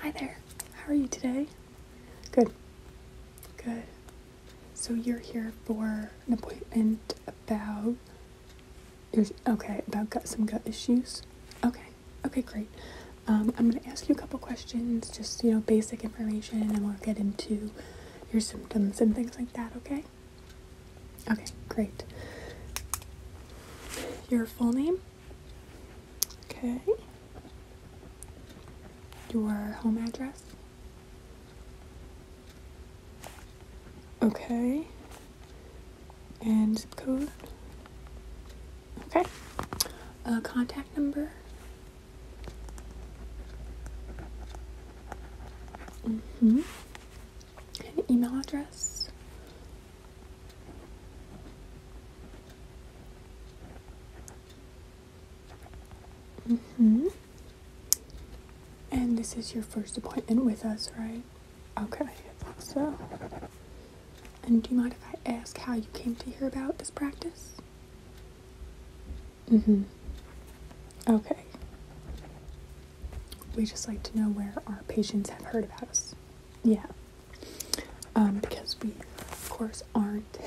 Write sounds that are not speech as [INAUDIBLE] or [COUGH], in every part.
Hi there. How are you today? Good. Good. So you're here for an appointment about your okay, about gut some gut issues. Okay. Okay, great. Um, I'm gonna ask you a couple questions, just you know, basic information and we'll get into your symptoms and things like that, okay? Okay, great. Your full name? Okay. Your home address. Okay. And code. Okay. A uh, contact number. Mm-hmm. An email address. Mm hmm And this is your first appointment with us, right? Okay, so. And do you mind if I ask how you came to hear about this practice? Mm-hmm. Okay. We just like to know where our patients have heard about us. Yeah. Um, because we, of course, aren't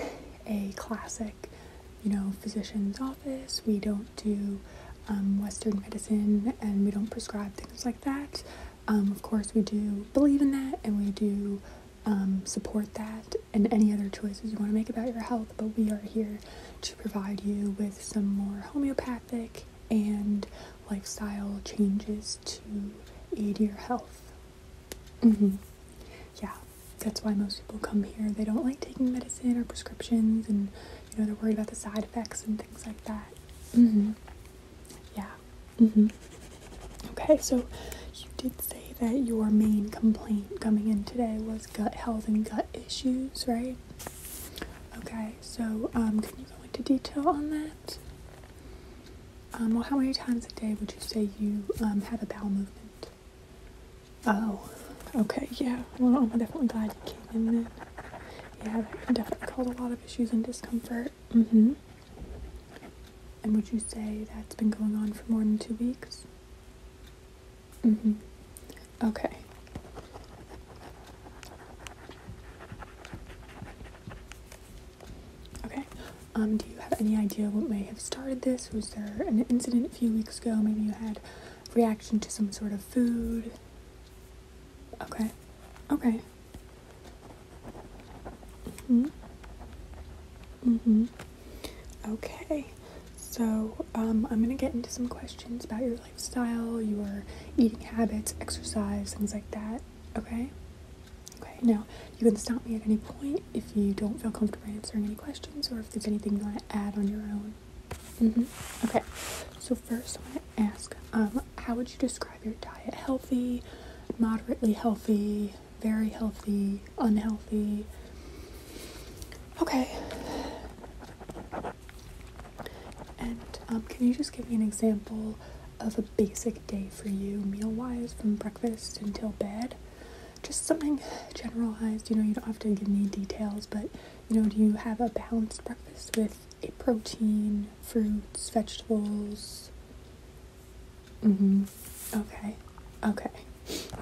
a classic, you know, physician's office. We don't do um, Western medicine and we don't prescribe things like that. Um, of course, we do believe in that and we do support that and any other choices you want to make about your health, but we are here to provide you with some more homeopathic and lifestyle changes to aid your health. Mm-hmm. Yeah, that's why most people come here. They don't like taking medicine or prescriptions, and you know they're worried about the side effects and things like that. Mm-hmm. Yeah. Mm-hmm. Okay, so you did say that your main complaint coming in today was gut health and gut issues, right? Okay, so um, can you go into detail on that? Um, well, how many times a day would you say you um, have a bowel movement? Oh, okay, yeah. Well, I'm definitely glad you came in then. Yeah, that definitely caused a lot of issues and discomfort. Mm-hmm. And would you say that's been going on for more than two weeks? Mm-hmm. Okay. Okay. Um, do you have any idea what may have started this? Was there an incident a few weeks ago? Maybe you had reaction to some sort of food? Okay. Okay. Mm-hmm. Mm-hmm. Okay. So, um, I'm gonna get into some questions about your your lifestyle, your eating habits, exercise, things like that. Okay? Okay, now you can stop me at any point if you don't feel comfortable answering any questions or if there's anything you want to add on your own. Mm-hmm. Okay, so first I want to ask um, how would you describe your diet? Healthy, moderately healthy, very healthy, unhealthy? Okay. And um, can you just give me an example of a basic day for you, meal wise, from breakfast until bed? Just something generalized. You know, you don't have to give me details, but you know, do you have a balanced breakfast with a protein, fruits, vegetables? Mm-hmm. Okay. Okay.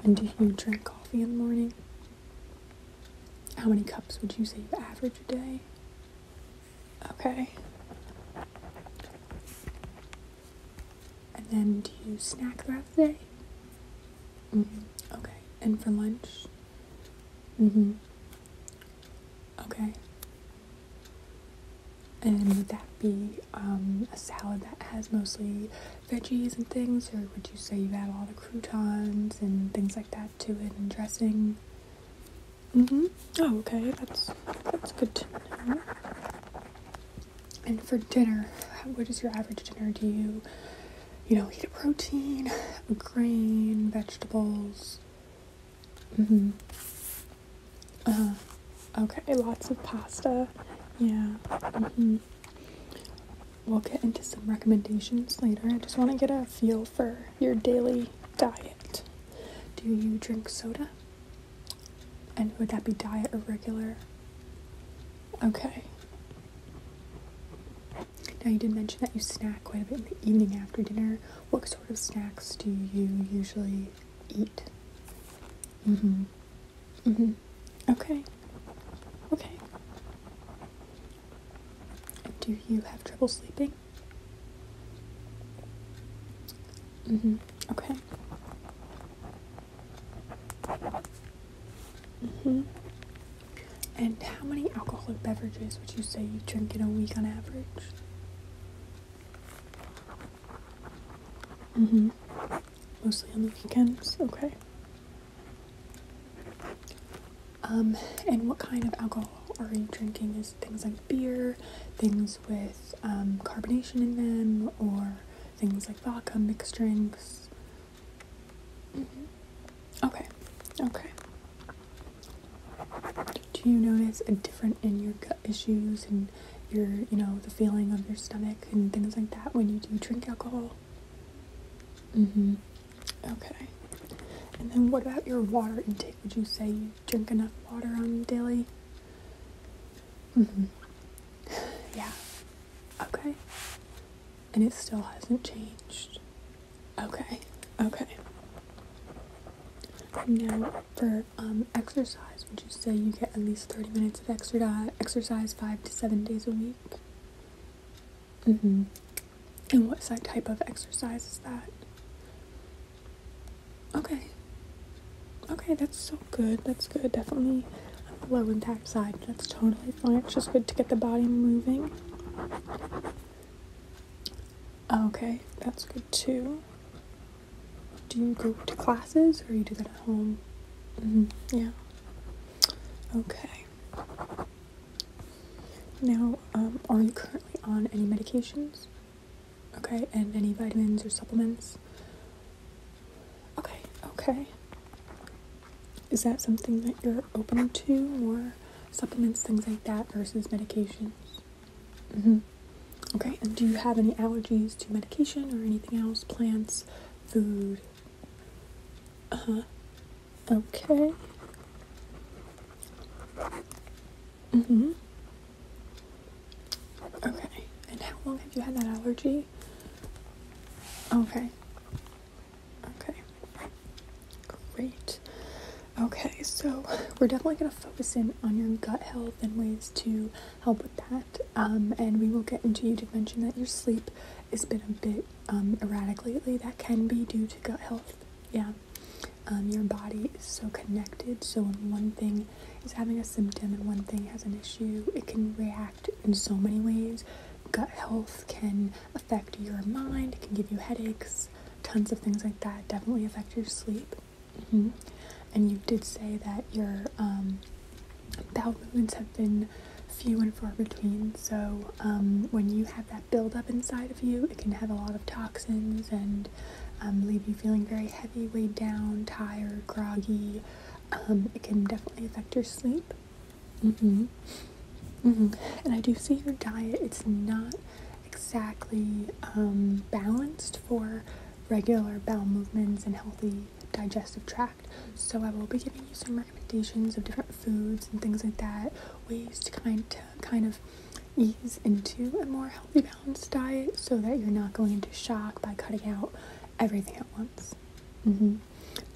And do you drink coffee in the morning? How many cups would you say you average a day? Okay. And then do you snack throughout the day? Mm-hmm. Okay. And for lunch? Mm-hmm. Okay. And would that be um, a salad that has mostly veggies and things, or would you say you add all the croutons and things like that to it and dressing? Mm-hmm. Oh, okay. That's that's good And for dinner, what is your average dinner? Do you, you know, eat a protein, grain, vegetables? Mm-hmm. Uh, okay. Lots of pasta. Yeah. Mm-hmm we'll get into some recommendations later. I just want to get a feel for your daily diet. Do you drink soda? And would that be diet or regular? Okay. Now, you did mention that you snack quite a bit in the evening after dinner. What sort of snacks do you usually eat? Mm hmm. Mm hmm. Okay. Okay. Do you have trouble sleeping? Mm-hmm. Okay. Mm-hmm. And how many alcoholic beverages would you say you drink in a week on average? Mm-hmm. Mostly on the weekends, okay. Um, and what kind of alcohol are you drinking? Is things like beer, things with um, carbonation in them, or things like vodka, mixed drinks? Mm-hmm. Okay, okay. Do you notice a different in your gut issues and your, you know, the feeling of your stomach and things like that when you do drink alcohol? Mm hmm Okay. And then what about your water intake? Would you say you drink enough water on daily? Mm-hmm. [SIGHS] Yeah. Okay. And it still hasn't changed. Okay. Okay. Now, for um, exercise, would you say you get at least 30 minutes of exercise, exercise five to seven days a week? Mm-hmm. And what type of exercise is that? Okay. Okay, that's so good. That's good. Definitely on low impact side. That's totally fine. It's just good to get the body moving. Okay, that's good too. Do you go to classes or you do that at home? Mm-hmm. Yeah. Okay. Now, um, are you currently on any medications? Okay, and any vitamins or supplements? Okay, okay. Is that something that you're open to, or supplements, things like that, versus medications? Mm-hmm. Okay, and do you have any allergies to medication or anything else? Plants, food, uh, okay. Mm hmm Okay. And how long have you had that allergy? Okay. Okay. Great. Okay, so we're definitely going to focus in on your gut health and ways to help with that. Um, and we will get into, you did mention that your sleep it's been a bit um, erratic lately, that can be due to gut health. Yeah. Um, your body is so connected, so when one thing is having a symptom and one thing has an issue, it can react in so many ways. Gut health can affect your mind, it can give you headaches, tons of things like that. Definitely affect your sleep. Mm-hmm. And you did say that your um, bowel movements have been few and far between. So um, when you have that buildup inside of you, it can have a lot of toxins and um, leave you feeling very heavy, weighed down, tired, groggy. Um, it can definitely affect your sleep. Mm-hmm. Mm-hmm. And I do see your diet; it's not exactly balanced for regular bowel movements and healthy digestive tract. So I will be giving you some recommendations of different foods and things like that, ways to kind to kind of ease into a more healthy balanced diet so that you're not going into shock by cutting out everything at once. Mm-hmm.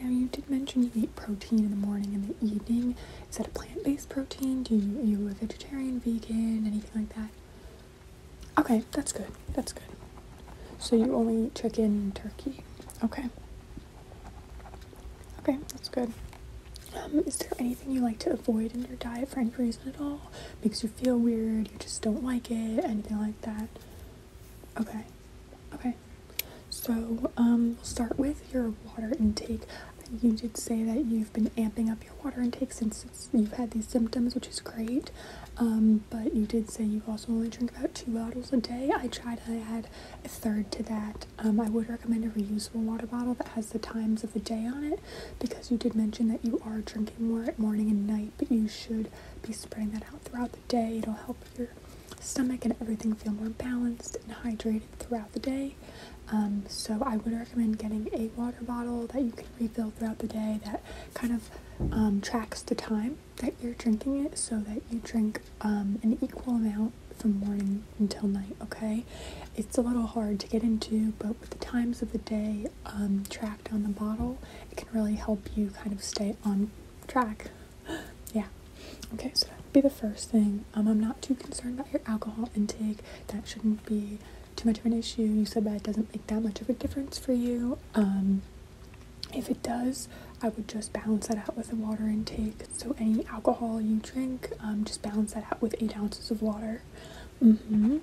Now you did mention you eat protein in the morning and the evening. Is that a plant-based protein? Do you are you a vegetarian, vegan, anything like that? Okay, that's good. That's good. So you only eat chicken and turkey. Okay. Okay, that's good. Um, is there anything you like to avoid in your diet for any reason at all? Makes you feel weird, you just don't like it, anything like that? Okay. Okay. So, um, we'll start with your water intake. You did say that you've been amping up your water intake since you've had these symptoms, which is great. Um, but you did say you also only drink about two bottles a day. I tried to add a third to that. Um, I would recommend a reusable water bottle that has the times of the day on it because you did mention that you are drinking more at morning and night, but you should be spreading that out throughout the day. It'll help your stomach and everything feel more balanced and hydrated throughout the day. Um, so I would recommend getting a water bottle that you can refill throughout the day that kind of um, tracks the time that you're drinking it so that you drink um, an equal amount from morning until night, okay? It's a little hard to get into, but with the times of the day um, tracked on the bottle, it can really help you kind of stay on track. [GASPS] yeah. Okay, so that would be the first thing. Um, I'm not too concerned about your alcohol intake. That shouldn't be too much of an issue. You said that it doesn't make that much of a difference for you. Um, if it does, I would just balance that out with a water intake. So any alcohol you drink, um, just balance that out with eight ounces of water. Mm-hmm.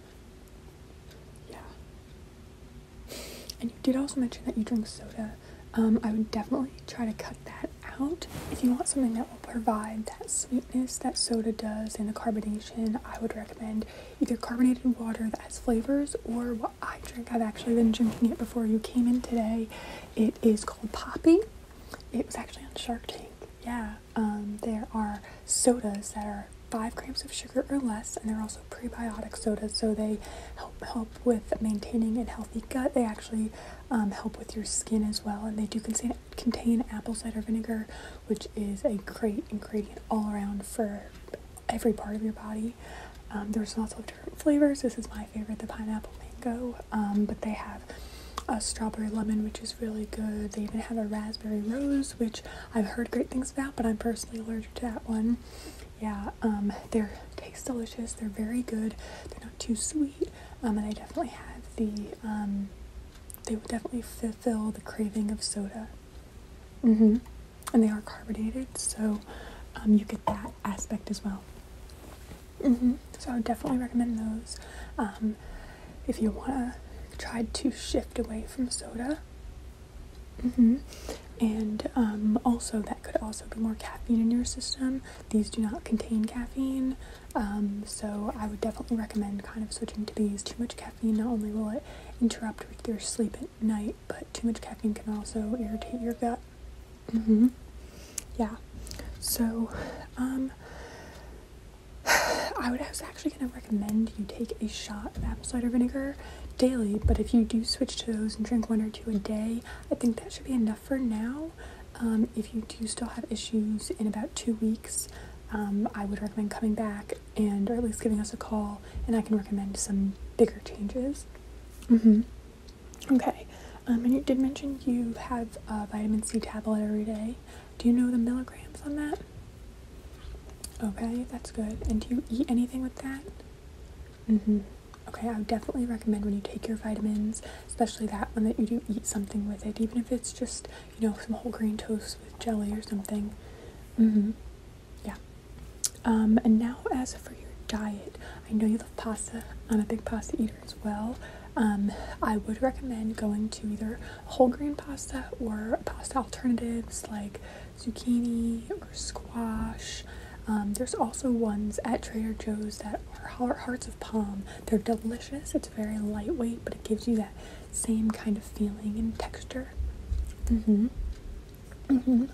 Yeah. And you did also mention that you drink soda. Um, I would definitely try to cut that out. If you want something that will provide that sweetness that soda does and the carbonation, I would recommend either carbonated water that has flavors or I drink. I've actually been drinking it before you came in today. It is called Poppy. It was actually on Shark Tank. Yeah, um, there are sodas that are five grams of sugar or less, and there are also prebiotic sodas, so they help help with maintaining a healthy gut. They actually um, help with your skin as well, and they do contain contain apple cider vinegar, which is a great ingredient all around for every part of your body. Um, there's lots of different flavors. This is my favorite, the pineapple mango, um, but they have a strawberry lemon, which is really good. They even have a raspberry rose, which I've heard great things about, but I'm personally allergic to that one. Yeah, um, they taste delicious. They're very good. They're not too sweet, um, and they definitely have the they would definitely fulfill the craving of soda. Mm-hmm and they are carbonated, so um, you get that aspect as well. Mm-hmm. So I would definitely recommend those. Um, if you want to try to shift away from soda, mm-hmm. and um, also that could also be more caffeine in your system. These do not contain caffeine, um, so I would definitely recommend kind of switching to these. Too much caffeine not only will it interrupt your sleep night, but too much caffeine can also irritate your gut. Mm-hmm. Yeah. So, um, [SIGHS] I was actually gonna recommend you take a shot of apple cider vinegar daily, but if you do switch to those and drink one or two a day, I think that should be enough for now. Um, if you do still have issues in about two weeks, um, I would recommend coming back and or at least giving us a call and I can recommend some bigger changes. Mm-hmm. Okay. Um, and you did mention you have a vitamin C tablet every day. Do you know the milligrams on that? Okay, that's good. And do you eat anything with that? Mm-hmm. Okay, I would definitely recommend when you take your vitamins, especially that one that you do eat something with it, even if it's just, you know, some whole grain toast with jelly or something. Mm-hmm yeah. Um, and now, as for your diet, I know you love pasta. I'm a big pasta eater as well. Um, I would recommend going to either whole grain pasta or pasta alternatives like zucchini or squash. Um, there's also ones at Trader Joe's that are hearts of palm. They're delicious. It's very lightweight, but it gives you that same kind of feeling and texture. Mm-hmm. Mm-hmm.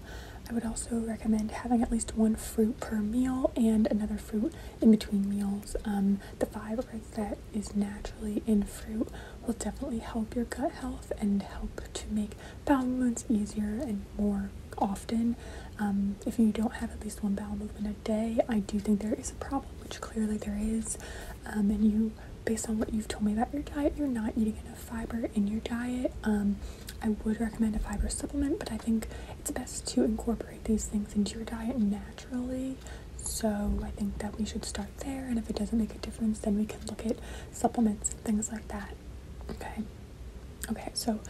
I would also recommend having at least one fruit per meal and another fruit in between meals. Um, the fiber that is naturally in fruit will definitely help your gut health and help to make bowel movements easier and more often. Um, if you don't have at least one bowel movement a day, I do think there is a problem, which clearly there is, um, and you based on what you've told me about your diet, you're not eating enough fiber in your diet. Um, I would recommend a fiber supplement, but I think it's best to incorporate these things into your diet naturally. So I think that we should start there, and if it doesn't make a difference, then we can look at supplements and things like that. Okay. Okay, so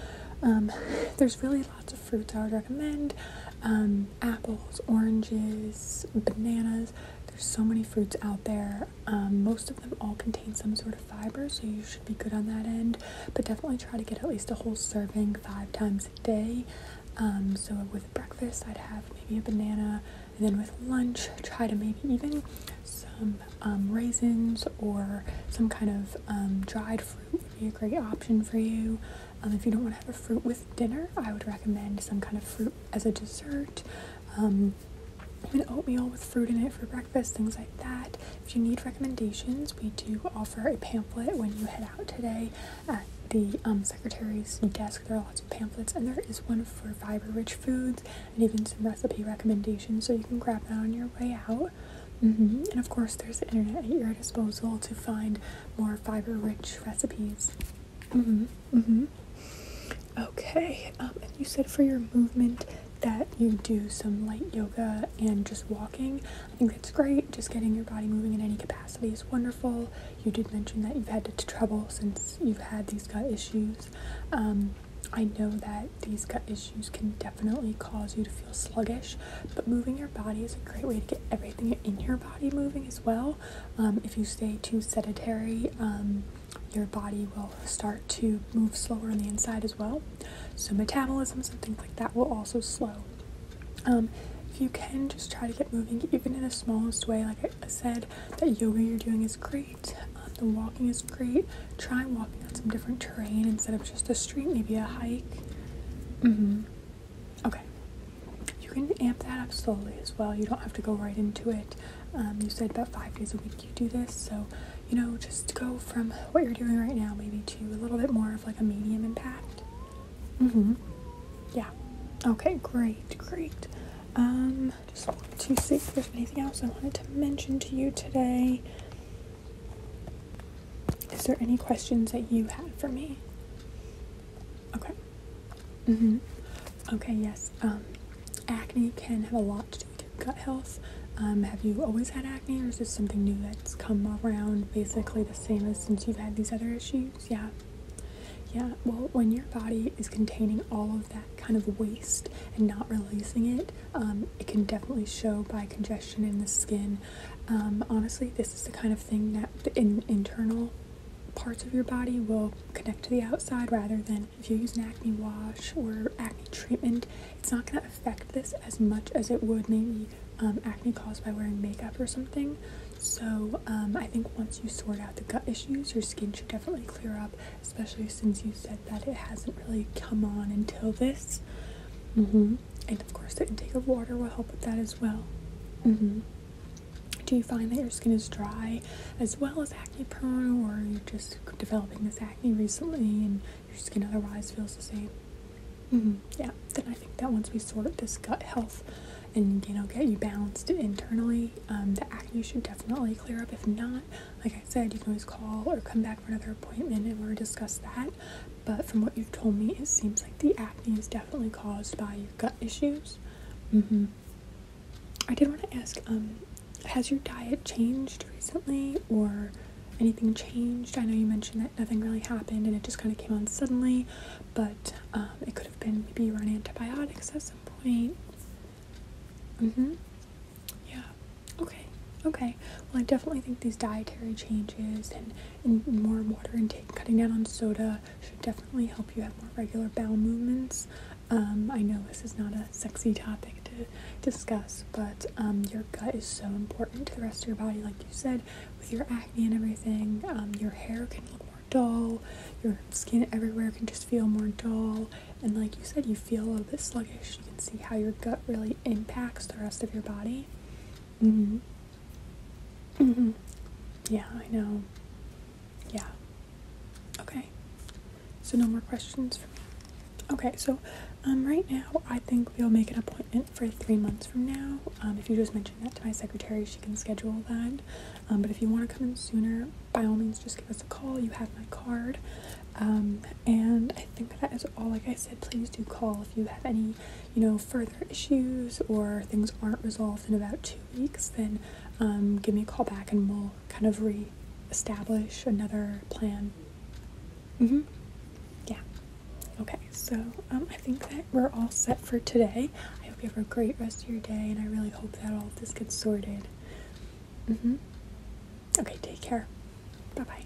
um, [LAUGHS] there's really lots of fruits I would recommend um, apples, oranges, bananas. There's so many fruits out there. Um, most of them all contain some sort of fiber, so you should be good on that end. But definitely try to get at least a whole serving five times a day. Um, so with breakfast, I'd have maybe a banana, and then with lunch, try to maybe even some um, raisins or some kind of dried fruit would be a great option for you. Um, if you don't want to have a fruit with dinner, I would recommend some kind of fruit as a dessert. Um, oatmeal with fruit in it for breakfast, things like that. If you need recommendations, we do offer a pamphlet when you head out today at the um, secretary's desk. There are lots of pamphlets, and there is one for fiber rich foods and even some recipe recommendations, so you can grab that on your way out. Mm-hmm. And of course, there's the internet at your disposal to find more fiber rich recipes. Mm-hmm. Mm-hmm. Okay. Um, and you said for your movement that you do some light yoga and just walking. I think that's great. Just getting your body moving in any capacity is wonderful. You did mention that you've had trouble since you've had these gut issues. Um, I know that these gut issues can definitely cause you to feel sluggish, but moving your body is a great way to get everything in your body moving as well. Um, if you stay too sedentary, um, your body will start to move slower on the inside as well. So metabolism and things like that will also slow. Um, if you can, just try to get moving, even in the smallest way. Like I said, that yoga you're doing is great. the walking is great. Try walking on some different terrain instead of just a street, maybe a hike. Mm-hmm. Okay. You can amp that up slowly as well. You don't have to go right into it. Um, you said about five days a week you do this, so you know, just go from what you're doing right now maybe to a little bit more of like a medium impact. Mm-hmm. Yeah. Okay, great, great. Um, just want to see if there's anything else I wanted to mention to you today. Is there any questions that you had for me? Okay. Mm hmm Okay, yes. Um, acne can have a lot to do with gut health. Um, have you always had acne, or is this something new that's come around basically the same as since you've had these other issues? Yeah. Yeah, well, when your body is containing all of that kind of waste and not releasing it, um, it can definitely show by congestion in the skin um, honestly, this is the kind of thing that the internal parts of your body will connect to the outside rather than if you use an acne wash or acne treatment, it's not going to affect this as much as it would maybe um, acne caused by wearing makeup or something. So um, I think once you sort out the gut issues, your skin should definitely clear up, especially since you said that it hasn't really come on until this. Mm-hmm and of course the intake of water will help with that as well mm-hmm. do you find that your skin is dry as well as acne prone or you're just developing this acne recently and your skin otherwise feels the same mm-hmm. yeah then i think that once we sort this gut health and you know get you balanced internally um, the acne should definitely clear up if not like i said you can always call or come back for another appointment and we'll discuss that but from what you've told me, it seems like the acne is definitely caused by your gut issues. Mm-hmm. I did want to ask, um, has your diet changed recently or anything changed? I know you mentioned that nothing really happened and it just kind of came on suddenly, but um, it could have been maybe you were on antibiotics at some point. Mm-hmm. Yeah. Okay. Okay. Well, I definitely think these dietary changes and and more water intake, cutting down on soda should definitely help you have more regular bowel movements. Um, I know this is not a sexy topic to discuss, but um, your gut is so important to the rest of your body, like you said, with your acne and everything. Um, your hair can look more dull, your skin everywhere can just feel more dull, and like you said, you feel a little bit sluggish. You can see how your gut really impacts the rest of your body. Mm-hmm. Mm -hmm. Yeah, I know. Yeah. Okay. So no more questions for me. Okay, so um, right now I think we'll make an appointment for three months from now. Um, if you just mention that to my secretary, she can schedule that. Um, but if you want to come in sooner, by all means, just give us a call. You have my card. Um, and I think that is all. Like I said, please do call if you have any you know, further issues or things aren't resolved in about two weeks, then um, give me a call back and we'll kind of re-establish another plan. Mm-hmm. Yeah. Okay, so um, I think that we're all set for today. I hope you have a great rest of your day, and I really hope that all of this gets sorted. Mm-hmm. Okay, take care. Bye-bye.